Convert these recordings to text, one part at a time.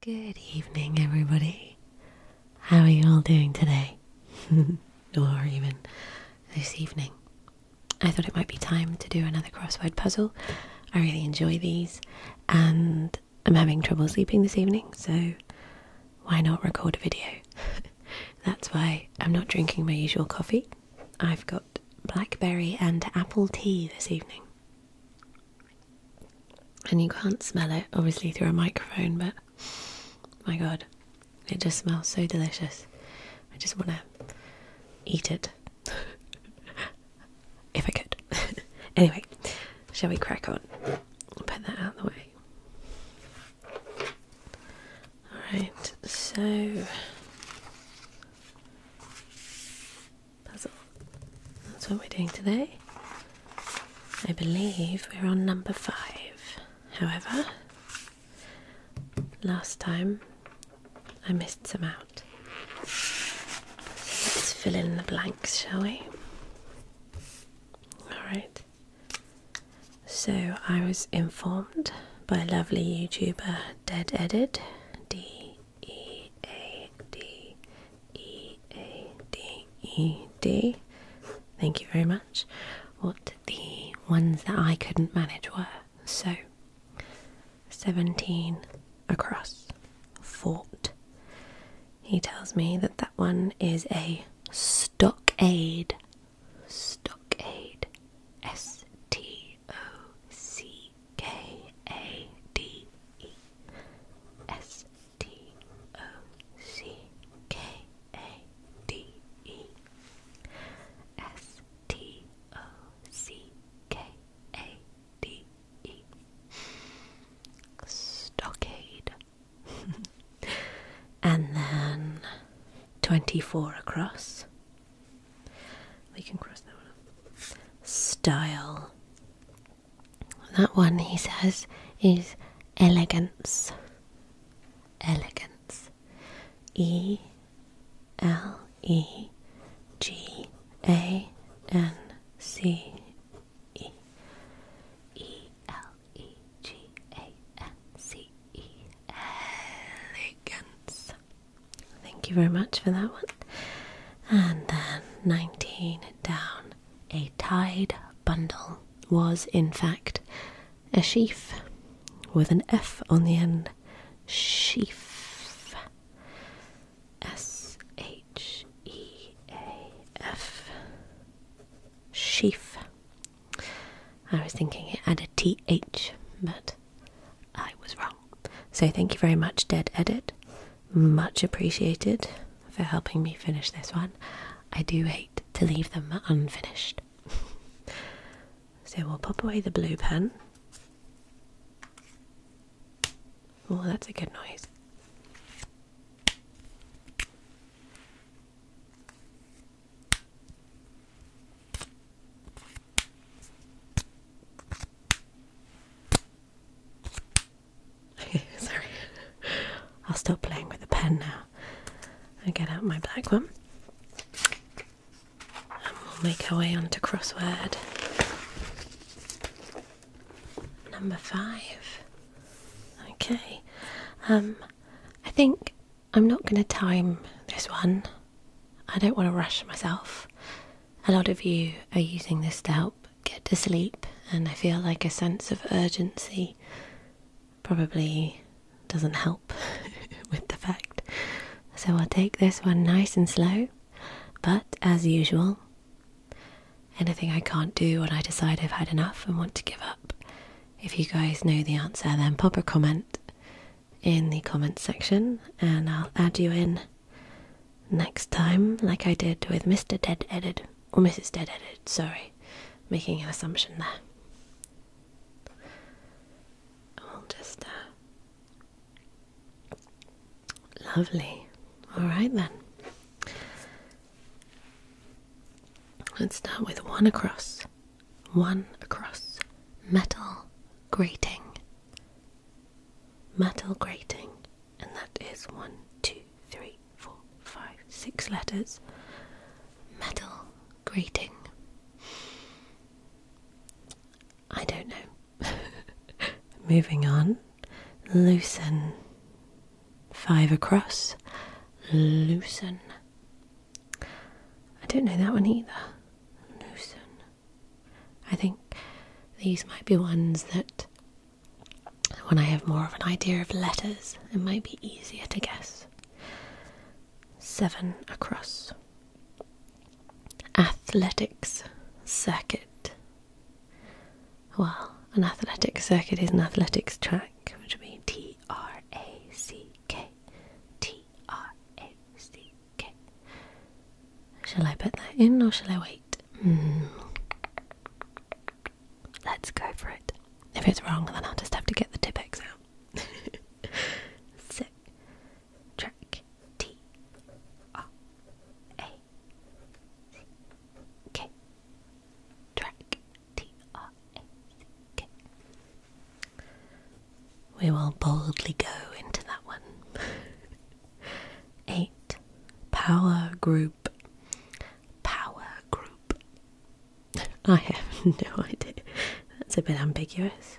Good evening, everybody. How are you all doing today? or even this evening? I thought it might be time to do another crossword puzzle. I really enjoy these, and I'm having trouble sleeping this evening, so why not record a video? That's why I'm not drinking my usual coffee. I've got blackberry and apple tea this evening. And you can't smell it, obviously, through a microphone, but my god, it just smells so delicious. I just want to eat it. if I could. anyway, shall we crack on? Put that out of the way. Alright, so puzzle. That's what we're doing today. I believe we're on number five. However, last time I missed some out. let's fill in the blanks, shall we? Alright. So I was informed by lovely YouTuber Dead Edit, D E A D E A D E D. Thank you very much. What the ones that I couldn't manage were so 17 across fort. He tells me that that one is a stockade Stockade, S T O C K A D E, S T O C K A D E, S T O C K A D E, Stockade. and then 24 across. We can cross that one Style. That one, he says, is elegance. Elegance. E L E G A N C E. E L E G A N C E. Elegance. Thank you very much for that one. And then 19 down. A tied bundle was, in fact, a sheaf with an F on the end. Sheaf. S H E A F. Sheaf. I was thinking it had a TH, but I was wrong. So thank you very much, Dead Edit. Much appreciated for helping me finish this one. I do hate to leave them unfinished. so we'll pop away the blue pen. Oh, that's a good noise. Okay, Sorry, I'll stop playing with the pen now I get out my black one. And we'll make our way on to crossword number five. Okay, um, I think I'm not going to time this one. I don't want to rush myself. A lot of you are using this to help get to sleep, and I feel like a sense of urgency probably doesn't help with the fact. So I'll take this one nice and slow, but as usual, anything I can't do when I decide I've had enough and want to give up if you guys know the answer, then pop a comment in the comments section and I'll add you in next time, like I did with Mr. Dead Edit or Mrs. Dead Edit, sorry, making an assumption there. I'll just uh, lovely. Alright then. Let's start with one across one across metal grating, metal grating, and that is one, two, three, four, five, six letters. Metal grating. I don't know. Moving on. Loosen. Five across. Loosen. I don't know that one either. Lucerne. I think these might be ones that when I have more of an idea of letters, it might be easier to guess. Seven across. Athletics circuit. Well, an athletics circuit is an athletics track, which would be T T R A C K. T R A C K. Shall I put that in or shall I wait? Hmm. Let's go for it. If it's wrong, then I'll just have to get the Tipex out. track T R A C K. Track T-R-A-C-K. We will boldly go into that one. 8. Power group. Power group. I have no idea. That's a bit ambiguous.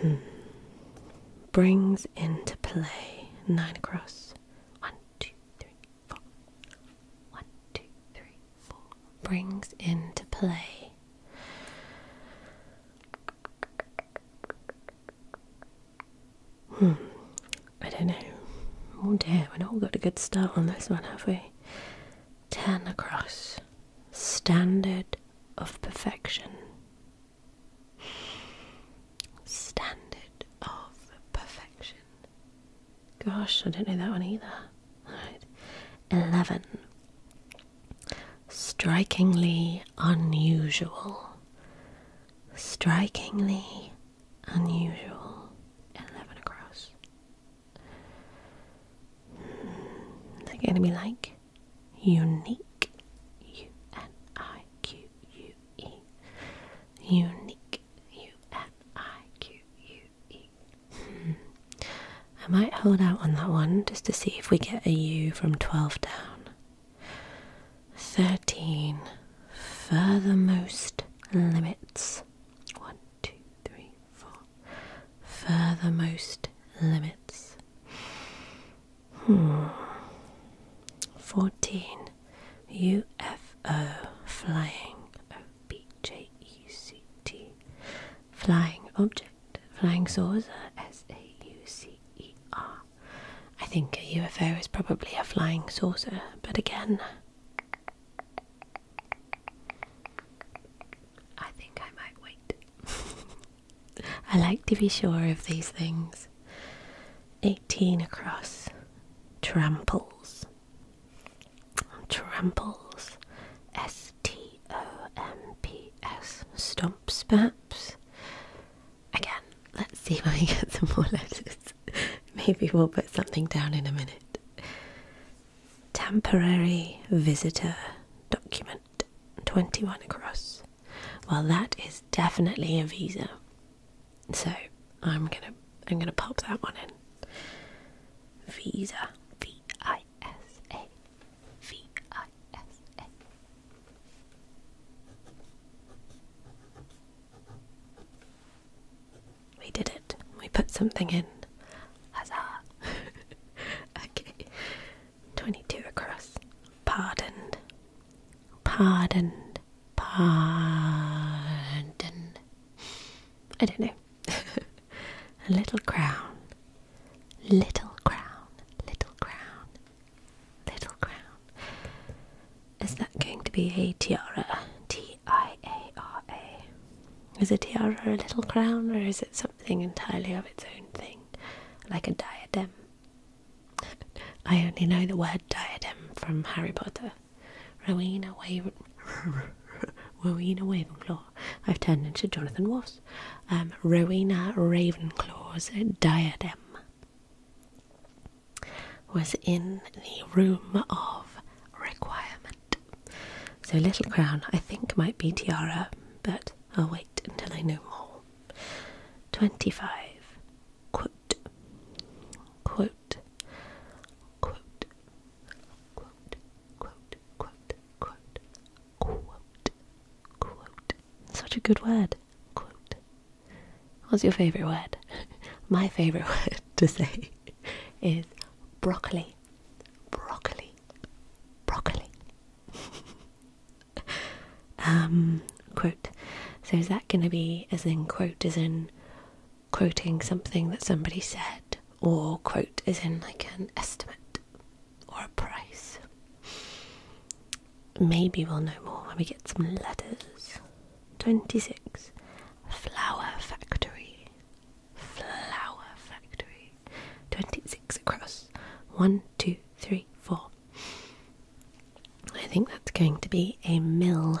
Hmm. Brings into play nine across. One, two, three, two, three, four. Brings into play. Hmm, I don't know. Oh dear, we've not got a good start on this one, have we? Ten across. Standard of perfection. Standard of perfection. Gosh, I don't know that one either. Right. 11. Strikingly unusual. Strikingly unusual. 11 across. Is it going to be like unique? U N I Q U E. Unique. U N I Q U I might hold out on that one just to see if we get a U from 12 down. 13. Furthermost limits. 1, 2, Furthermost limits. Hmm. 14. UFO flying. B-J-E-C-T. Flying object. Flying saucer. S-A-U-C-E-R. I think a UFO is probably a flying saucer, but again, I think I might wait. I like to be sure of these things. 18 across. Tramples. Tramples, S T O M P S, stomps perhaps. Again, let's see if I can get some more letters. Maybe we'll put something down in a minute. Temporary visitor document, 21 across. Well, that is definitely a visa. So I'm gonna I'm gonna pop that one in. Visa V I S A V I S A. We did it. We put something in. Huzzah! okay. 22 across. Pardoned. Pardoned pardon. I don't know. a little crown, little crown, little crown, little crown. Is that going to be a tiara? T I A R A. Is a tiara a little crown or is it something entirely of its own thing? Like a diadem? I only know the word diadem from Harry Potter. Rowena Waven Rowena Wavenclaw. I've turned into Jonathan Ross. Um, Rowena Ravenclaw's diadem was in the room of requirement. So little crown, I think, might be tiara, but I'll wait until I know more. Twenty-five. Such a good word. What's your favourite word? My favourite word to say is broccoli, broccoli, broccoli. um, quote. So is that going to be as in quote as in quoting something that somebody said, or quote is in like an estimate or a price. Maybe we'll know more when we get some letters. 26. Flower Factory. Flower Factory. 26 across. 1, 2, 3, 4. I think that's going to be a mill.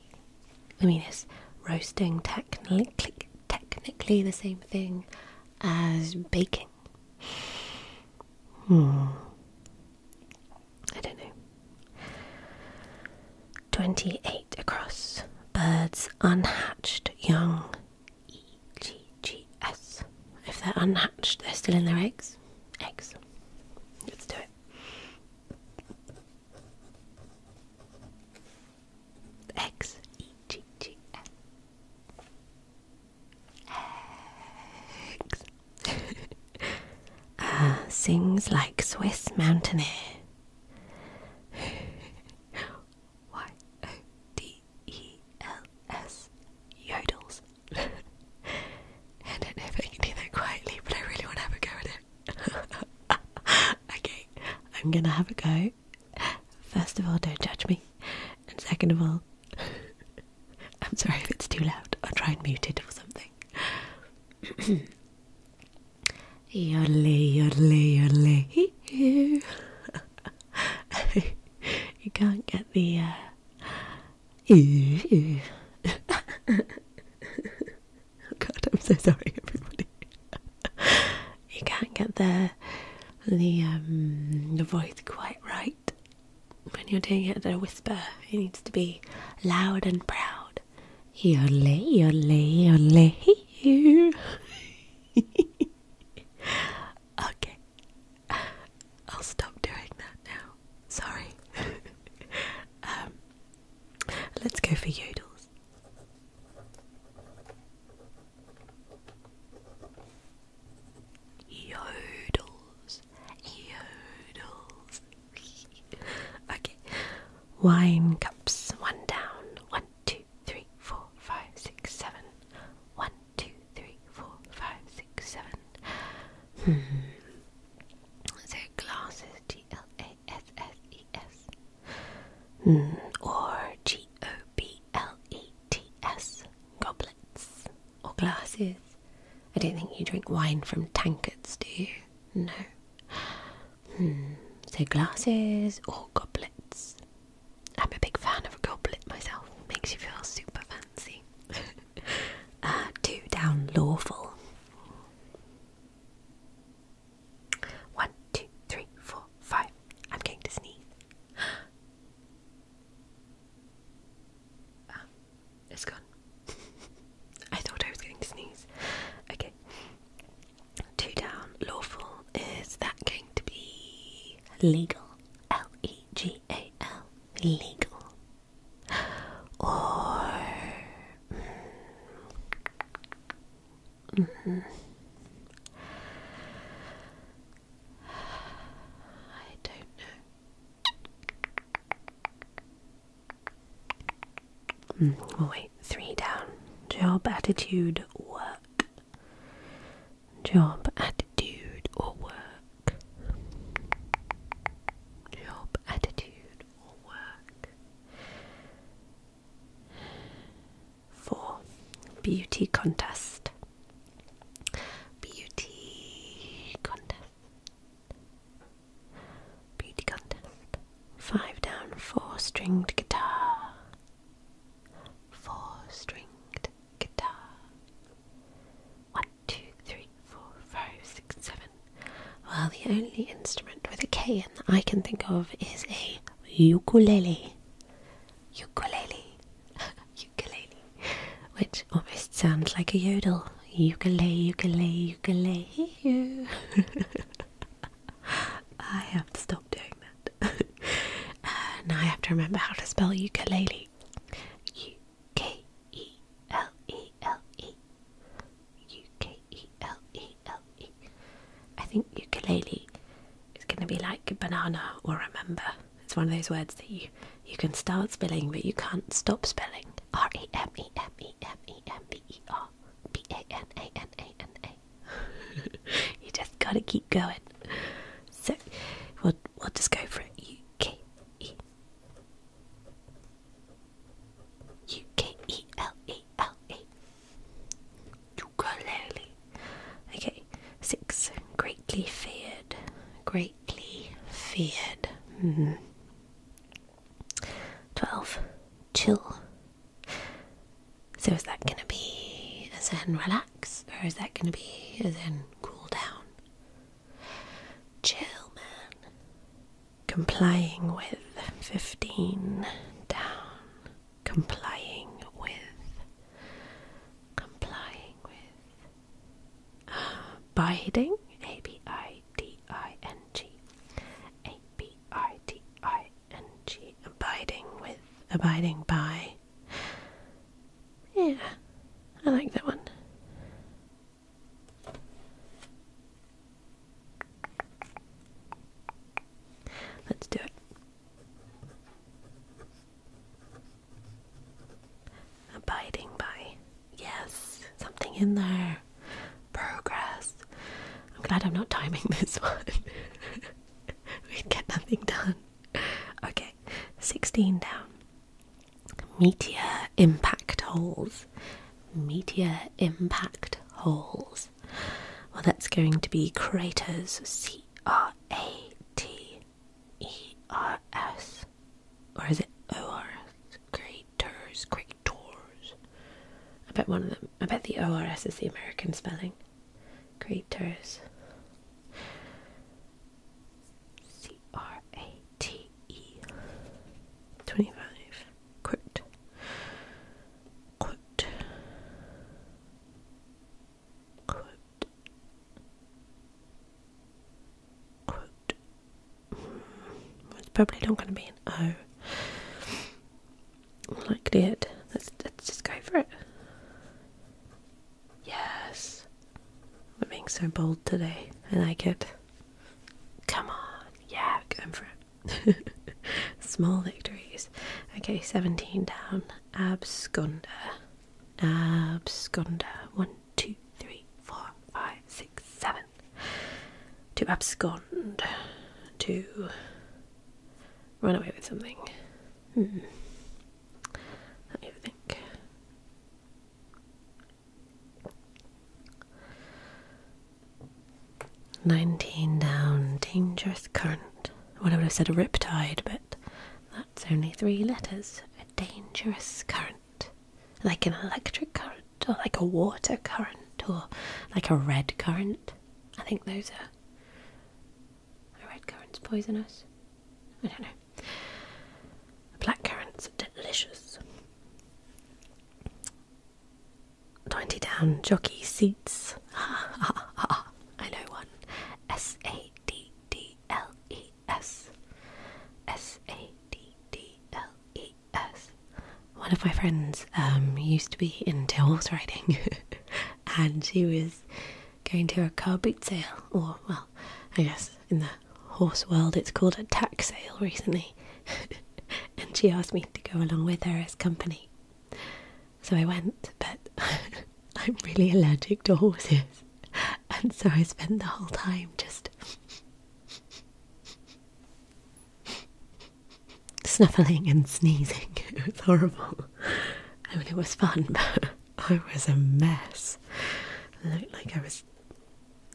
I mean, is roasting technically technically the same thing as baking? Hmm. I don't know. 28 across. Birds unhatched young. E-G-G-S. If they're unhatched, they're still in their eggs. Eggs. Let's do it. X E G G N X. Ah, sings like Swiss mountaineer. y O D E L S yodels. I don't know if I can do quietly, but I really want to have a go at it. okay, I'm gonna have a go. First of all, don't judge me, and second of all, I'm sorry if it's too loud. I'll try and mute it or something. Yodely, yodely, yodely. you can't get the uh. Oh God, I'm so sorry, everybody. you can't get the the um, the voice quite right when you're doing it at a whisper. It needs to be loud and proud. Yole, yole, yole. okay, I'll stop doing that now. Sorry. Um, Let's go for yodels. Yodels. Yodels. okay. Wine cups. One down. One, two, three, four, five, six, seven. One, two, three, four, five, six, seven. Hmm. So glasses, G L A S-S-E-S. Hmm, or G-O-B-L-E-T-S. Goblets. Or glasses. I don't think you drink wine from tankards, do you? No. Hmm. So glasses or goblets. I'm a big fan of a goblet myself. Makes you feel super fancy. uh, two down lawful. One, two, three, four, five. I'm going to sneeze. Um, it's gone. I thought I was going to sneeze. Okay. Two down. Lawful. Is that going to be legal? L E G A L. Legal or mm, mm. I don't know. Mm, wait. Three down. Job attitude work. Job attitude or work. Job attitude or work. 4. Beauty contest. Beauty contest. Beauty contest. 5 down, 4 stringed guitar. 4 stringed guitar. One two three four five six. Well, the only instrument with a K in that I can think of is a ukulele. Ukulele. ukulele. Which almost sounds like a yodel. Ukulele, ukulele, ukulele. I have to stop doing that. uh, now I have to remember how to spell ukulele. U K E L E L E U K E L E L E. I think ukulele is going to be like banana or remember. It's one of those words that you you can start spelling but you can't stop spelling. R E M E M E M E M B E R B A N A N A N A. You just gotta keep going. So we'll we'll just go for it. U K E U K E L E L E. Ukulele. Okay, six. Greatly feared. Greatly feared. Mm-hmm. Twelve. Chill. So is that going to be as in relax, or is that going to be as in cool down? Chill, man complying with 15 down complying with complying with abiding a b i d i n g a b i d i n g abiding with abiding by yeah i like that one Let's do it. Abiding by. Yes, something in there. Progress. I'm glad I'm not timing this one. We'd get nothing done. Okay, 16 down meteor impact holes. Meteor impact holes. Well, that's going to be craters. C R A T E R S. Or is it O R S? Craters, craters. I bet one of them, I bet the O R S is the American spelling. Craters. C R A T E. 25. Quote. Quote. Quote. Quote. It's probably not going to be an O. Likely it. Let's, let's just go for it. Yes. We're being so bold today. I like it. Come on, yeah, come for it. Small victories. Okay, 17 down. Absconder. Absconder. One, two, three, four, five, six, seven. To abscond. To run away with something. Hmm. Let me think. 19 down, dangerous current. What I would have said a tide, but that's only three letters. A dangerous current. Like an electric current, or like a water current, or like a red current. I think those are. A red currant's poisonous. I don't know. Black current's are delicious. Twenty down jockey seats. I know one. S A D D L E S. S A D D L E S. One of my friends um, used to be in horse riding and she was going to a car boot sale, or well, I guess in the Horse World, it's called a tack sale recently, and she asked me to go along with her as company. So I went, but I'm really allergic to horses, and so I spent the whole time just snuffling and sneezing. It was horrible. I mean, it was fun, but I was a mess. I looked like I was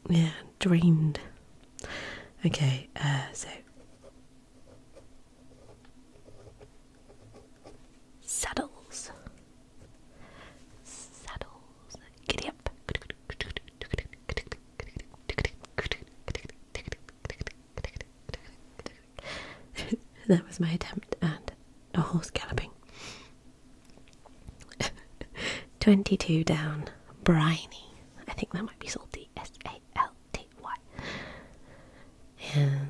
yeah, drained. Okay, uh, so saddles, saddles, giddy that was my attempt at a horse galloping. 22 down. Briny. I think that might be salty. S A L T Y. And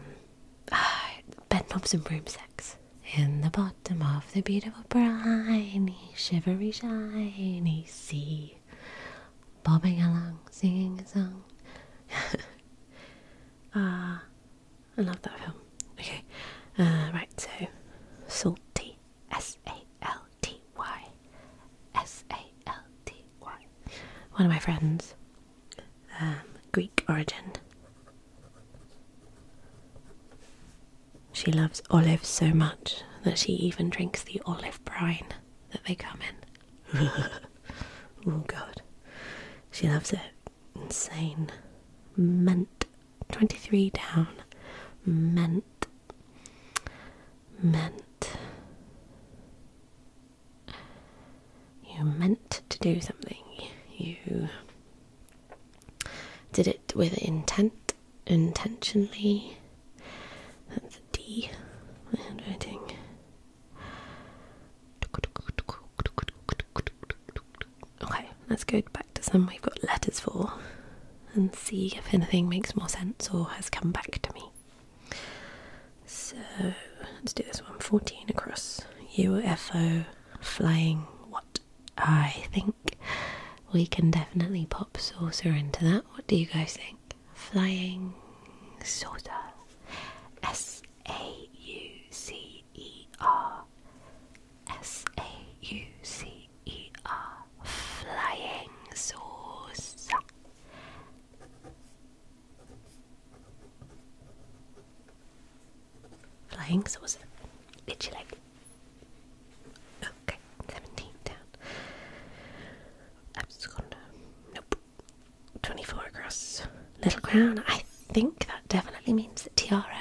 uh, bedknobs and broomsticks. In the bottom of the beautiful briny, shivery shiny sea. Bobbing along, singing a song. Ah, I love that film. Okay, uh, right, so salty. S A L T Y. S A L T Y. One of my friends, um, Greek origin. She loves olives so much that she even drinks the olive brine that they come in. oh god. She loves it. Insane. Mint 23 down. Meant. Meant. You meant to do something. You did it with intent, intentionally. That's a D. My handwriting. Okay, let's go back to some we've got letters for and see if anything makes more sense or has come back to me. So let's do this one 14 across UFO flying. What I think we can definitely pop saucer into that. What do you guys think? Flying saucer S A U C E R S A U C E R Flying Saucer. Flying saucer. Literally. Okay, 17 down. i Nope. 24 across. Little crown. I think that definitely means that tiara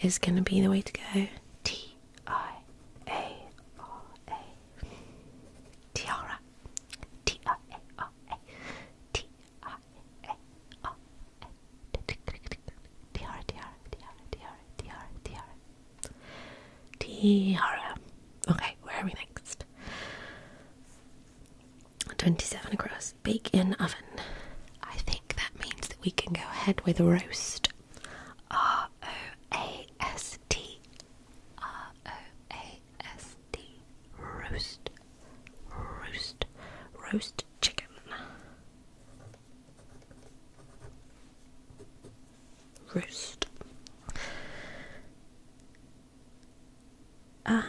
is gonna be the way to go. T I A R A. Tiara. T I A R A. T I A R A. Tiara, tiara, tiara, tiara, tiara, tiara. Okay, where are we next? 27 across. Bake in oven. I think that means that we can go ahead with roast. R O A S T. R O A S T. Roast. Roast. Roast chicken. Roast. Ah,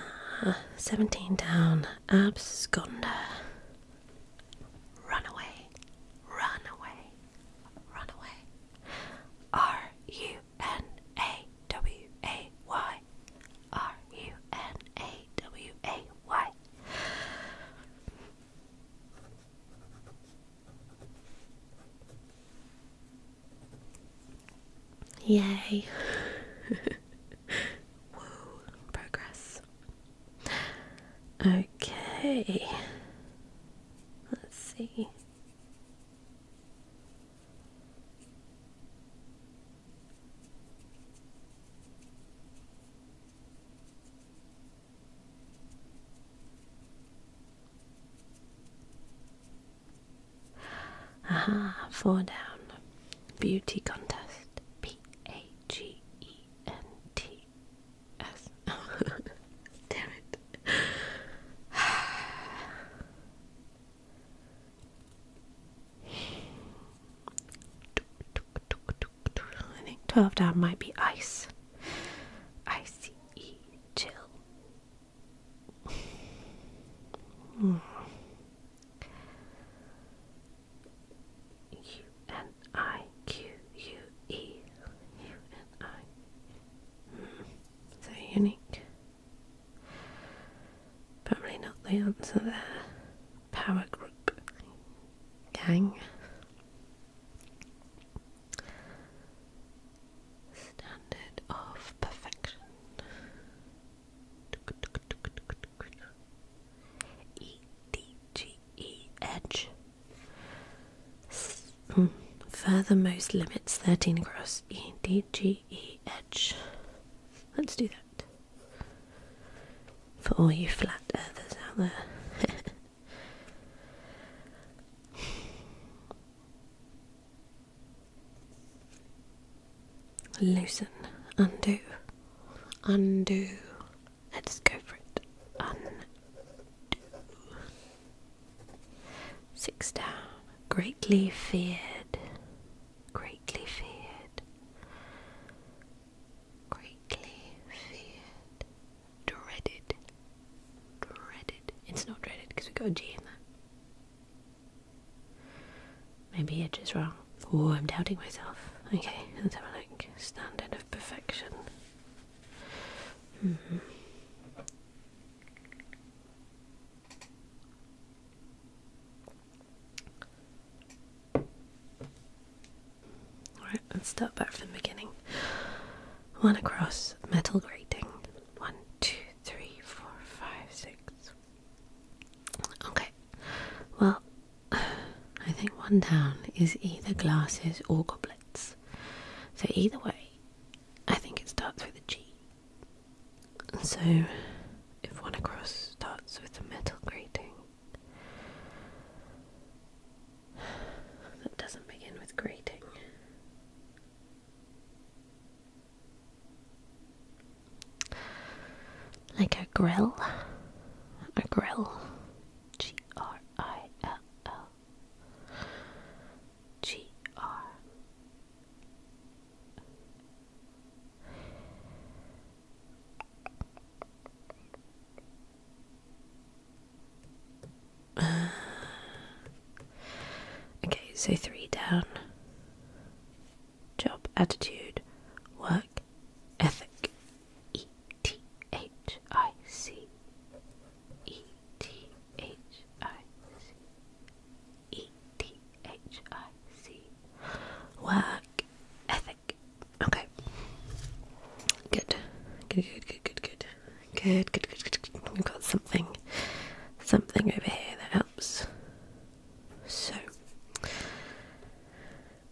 17 down. absconder. Run away, run away, run away. R U N A W A Y. R U N A W A Y. Yay. Woo, progress. Okay. Let's see. Aha, four down. Beauty contest. P A G E N T. I think 12 down might be ice. I C E chill. Hmm. I Q U E U N I. so unique. Probably not the answer there. Power group. Gang. Standard of perfection. E D G E H. Hmm. Furthermost limits 13 across E D G E E D let us do that. For all you flat earthers out there. Loosen, undo, undo, Let's go for it. Six down. Greatly feared. Greatly feared. Greatly feared. Dreaded. Dreaded. It's not dreaded because we got a G in there. Maybe it's just wrong. Oh, I'm doubting myself. Okay, let's have a look. Standard of perfection. Mm-hmm. Alright, let's start back from the beginning. One across, metal grating. One, two, three, four, five, six. Okay, well, I think one down is either glasses or goblets. So either way, I think it starts with a G. So if one across starts with a metal grating, that doesn't begin with grating like a grill. A grill. G R I L L. G R. okay, so three down. Job, attitude, work, Ethic. E T H I C. E T H I C. E T H I C. Work ethic. Okay. Good. Good, good, good, good, good. Good, good, good, good, good. We've got something. Something over here that helps. So,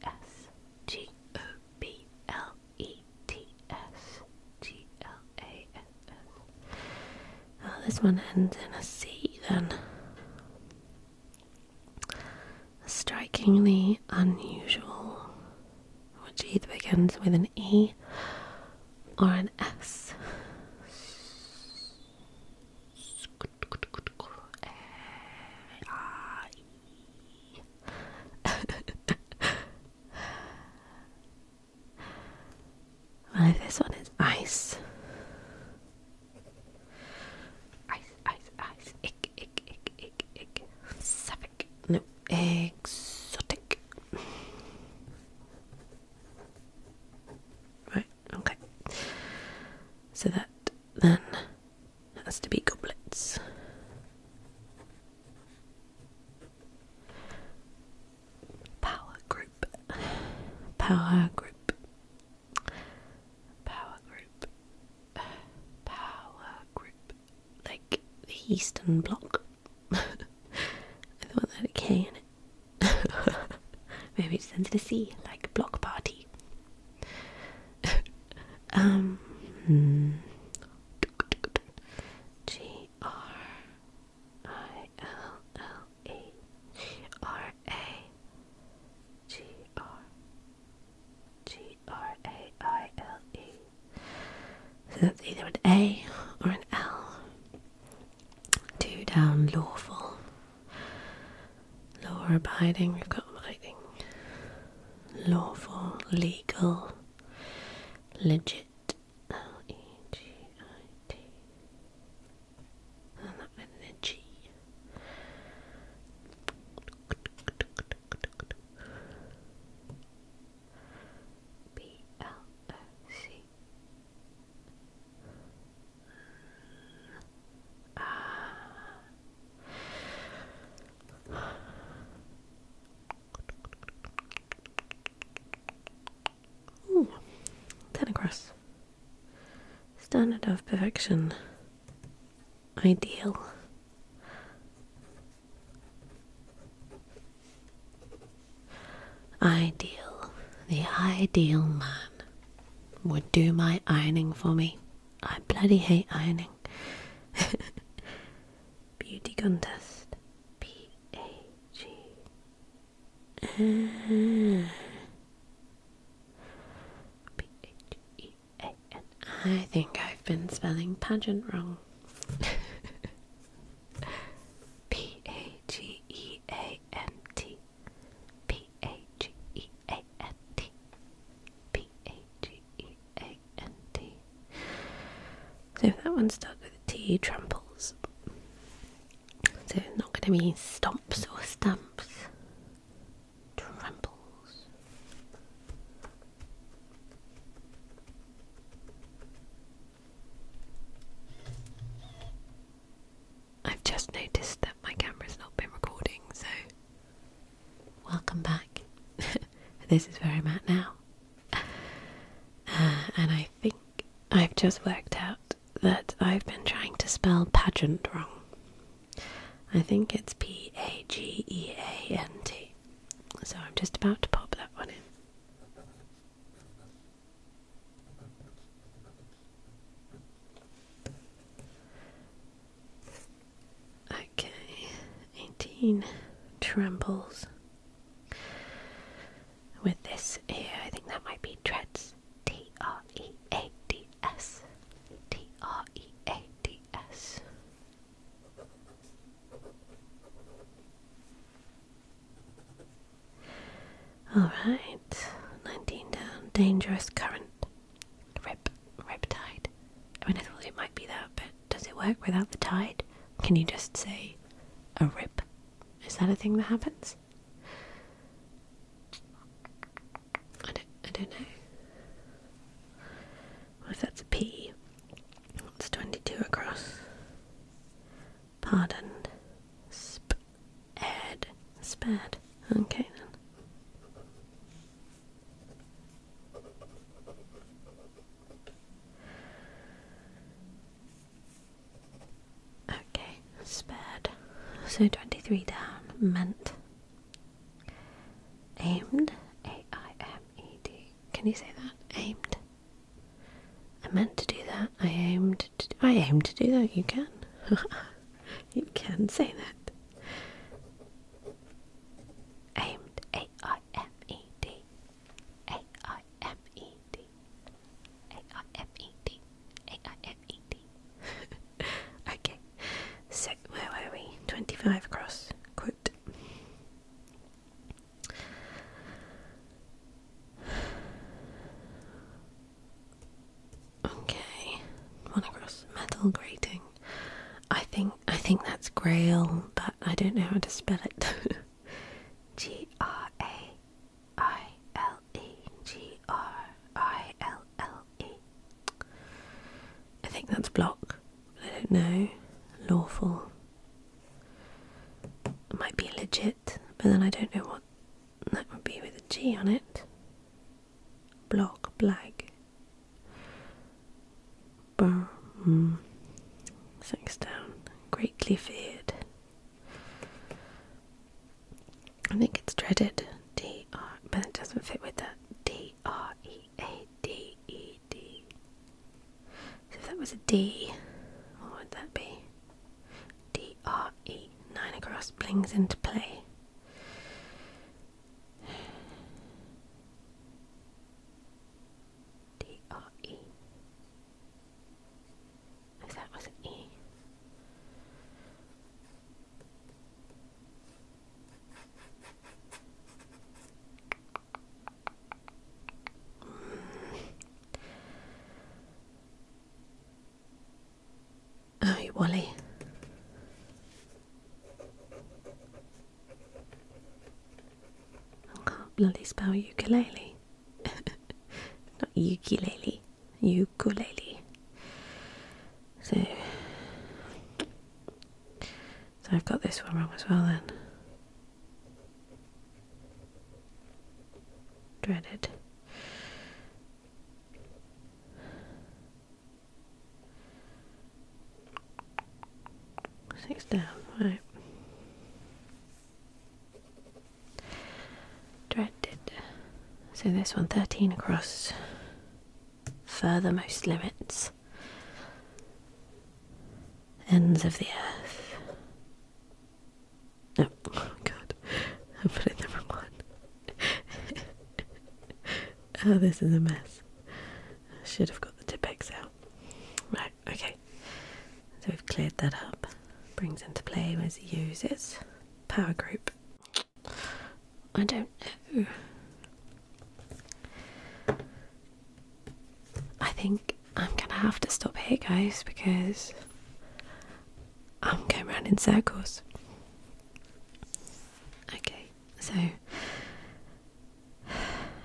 T S G O B L E T S G L A S S. this one ends in a C then. Strikingly unusual, which either begins with an E or an S. well, if this one is ice, ice, ice, ice, ick, no, exotic. Right. Okay. So that then has to be goblets. Power group. Power group. Power group. Power group. Like the Eastern Bloc. I thought that had a K in Maybe it sends it a C, like block party. um, hmm. So that's either an A or an L. Two down lawful. Law abiding, we've got abiding. Lawful, legal, legit. L E G I T. And that went ten across. Standard of perfection. Ideal. Ideal. The ideal man would do my ironing for me. I bloody hate ironing. Beauty contest. P A G. Uh, P H E A N. I think I've been spelling pageant wrong. P A G E A M T. P A G E A N T. P A G E A N T. So if that one starts with T. tramples. So it's not going to be stomps or stamps. Tramples. I've just noticed that my camera's not been recording, so welcome back. this is where I'm at now. Uh, and I think I've just worked out that I've been trying to spell pageant wrong. I think it's P A G E A N T. So I'm just about to pop that one in. Okay, 18 trembles. With this here, I think that might be treads. T R E A D S. T R E A D S. Alright, 19 down. Dangerous current. Rip, rip tide. I mean, I thought it might be that, but does it work without the tide? Can you just say a rip? Is that a thing that happens? I don't, I don't know. Well, if that's a P, it's 22 across. Pardon. Sp. Ed. Spad. Okay then. Okay, spared. So 23 down, meant. Aimed, A-I-M-E-D. Can you say that? Aimed. I meant to do that. I aimed I aimed to do that. You can. you can say that. Aimed, A I M E D. A I M E D. A I M E D. A I M E D. okay, so where are we? 25 across. Quote. Okay, one across metal grating. I think I think that's grail, but I don't know how to spell it. G R A I L E G R I L L E. I think that's block. I don't know. Lawful. might be legit, but then I don't know what that would be with a G on it. Block, blag. Burm. Sextown. Greatly feared. I think it's dreaded. D R, but it doesn't fit with that. D R E A D E D. So if that was a D, what would that be? DRE, nine across, blings into play. DRE. If that was an E. Hmm. Oh, you Wally. I can't bloody spell ukulele. Not ukulele. Ukulele. So, so I've got this one wrong as well then. Dreaded. Six down, right. Directed. So this one, 13 across. Furthermost limits. Ends of the earth. No, oh, God, I put it number one. oh, this is a mess. I should have got the Tippex out. Right, okay. So we've cleared that up. Brings into play as he uses power group. I don't know. I think I'm gonna have to stop here, guys, because I'm going round in circles. Okay, so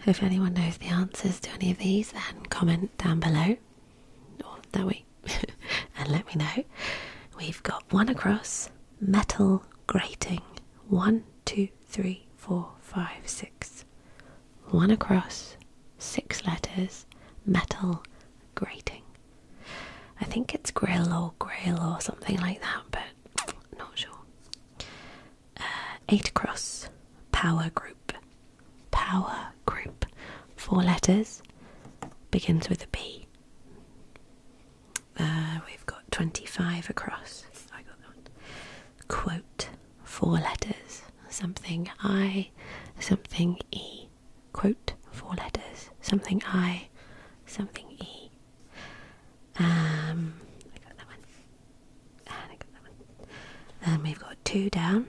if anyone knows the answers to any of these, then comment down below or that and let me know. We've got one across metal grating one, two, three, four, five, six. One across, six letters, metal grating. I think it's grill or grill or something like that, but not sure. Uh, eight across, power group. Power group. Four letters. Begins with a B. Uh, we've got 25 across. I got that one. Quote. Four letters. Something I, something E quote, four letters, something I, something E. Um, I got that one. And I got that one. And we've got two down.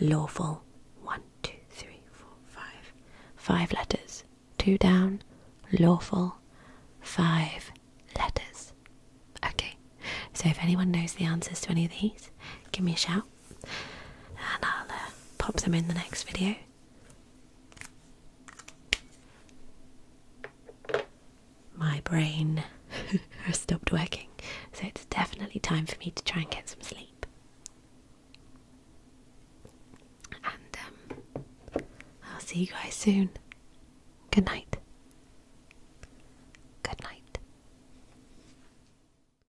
Lawful. One, two, three, four, five, five letters. Two down. Lawful. Five letters. Okay. So if anyone knows the answers to any of these, give me a shout and I'll uh, pop them in the next video. My brain has stopped working, so it's definitely time for me to try and get some sleep. And um, I'll see you guys soon. Good night. Good night.